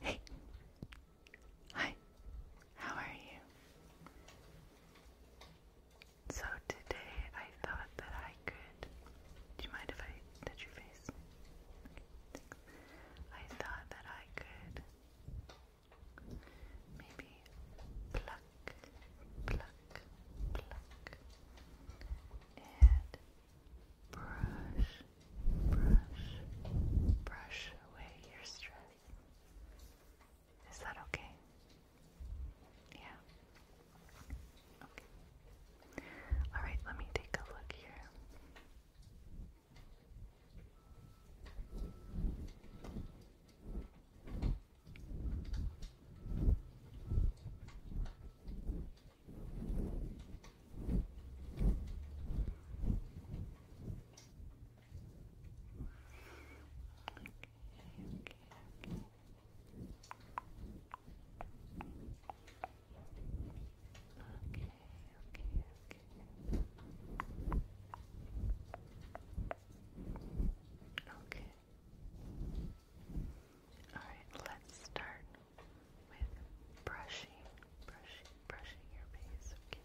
Hey. Hi. How are you? So today I thought that I could. Do you mind if I touch your face? I thought that I could maybe pluck, pluck, pluck, and Brush, brush, brush away your stress. Is that okay? Yeah. Okay. All right, let me take a look here okay. All right, let's start with brushing, brushing, brushing your face, okay?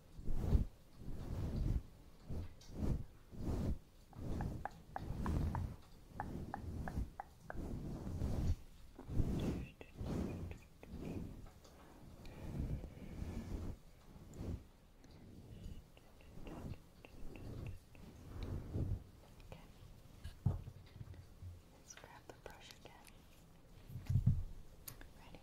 Let's grab the brush again. Ready?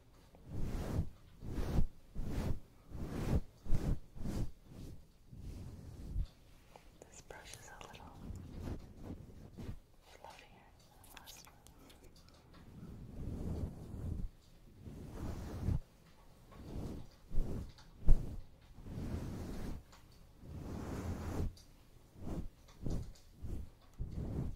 This brush is a little fluffier than the last one. Just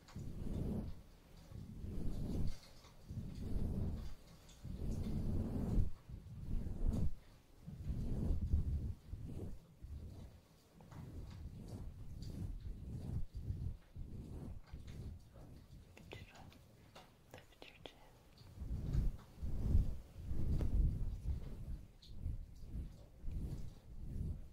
Just lift your chin. Good.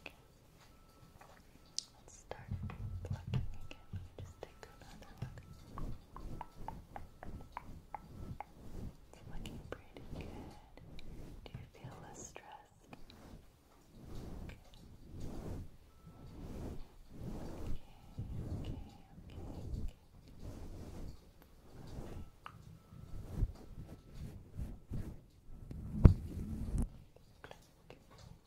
Okay. Let's start plugging again. Just take another look. It's looking pretty good. Do you feel less stressed? Okay. Okay, okay, okay,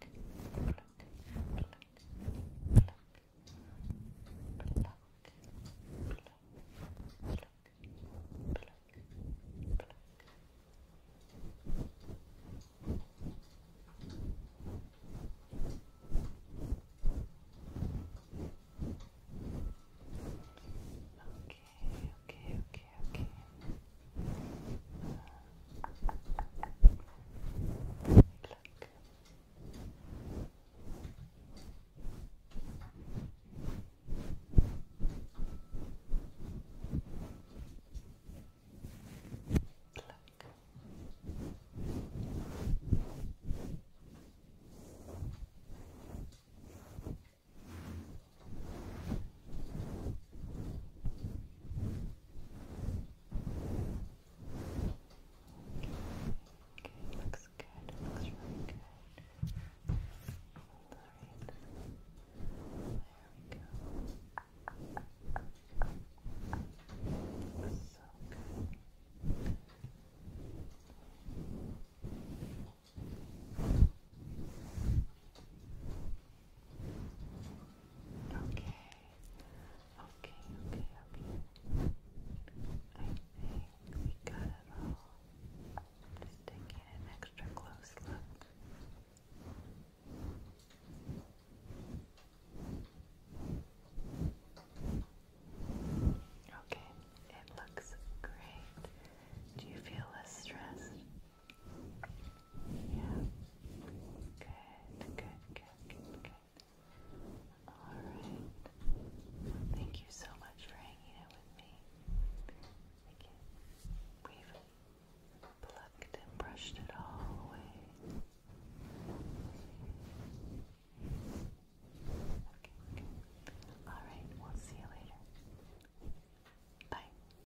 pluck, pluck, pluck, pluck, pluck. Pluck, pluck, pluck. Okay, okay, okay okay, okay. Look. Look. Look. Okay, looks good. It looks really good. All right. There we go. Looks so good. Okay. Okay. Okay, okay, okay. I think we got it all. Just taking an extra close look. Okay, it looks great. Do you feel less stressed? Yeah. Good, good, good, good, Alright. Thank you so much for hanging out with me. We've plucked and brushed it all away. Okay, okay. Alright, we'll see you later. Bye.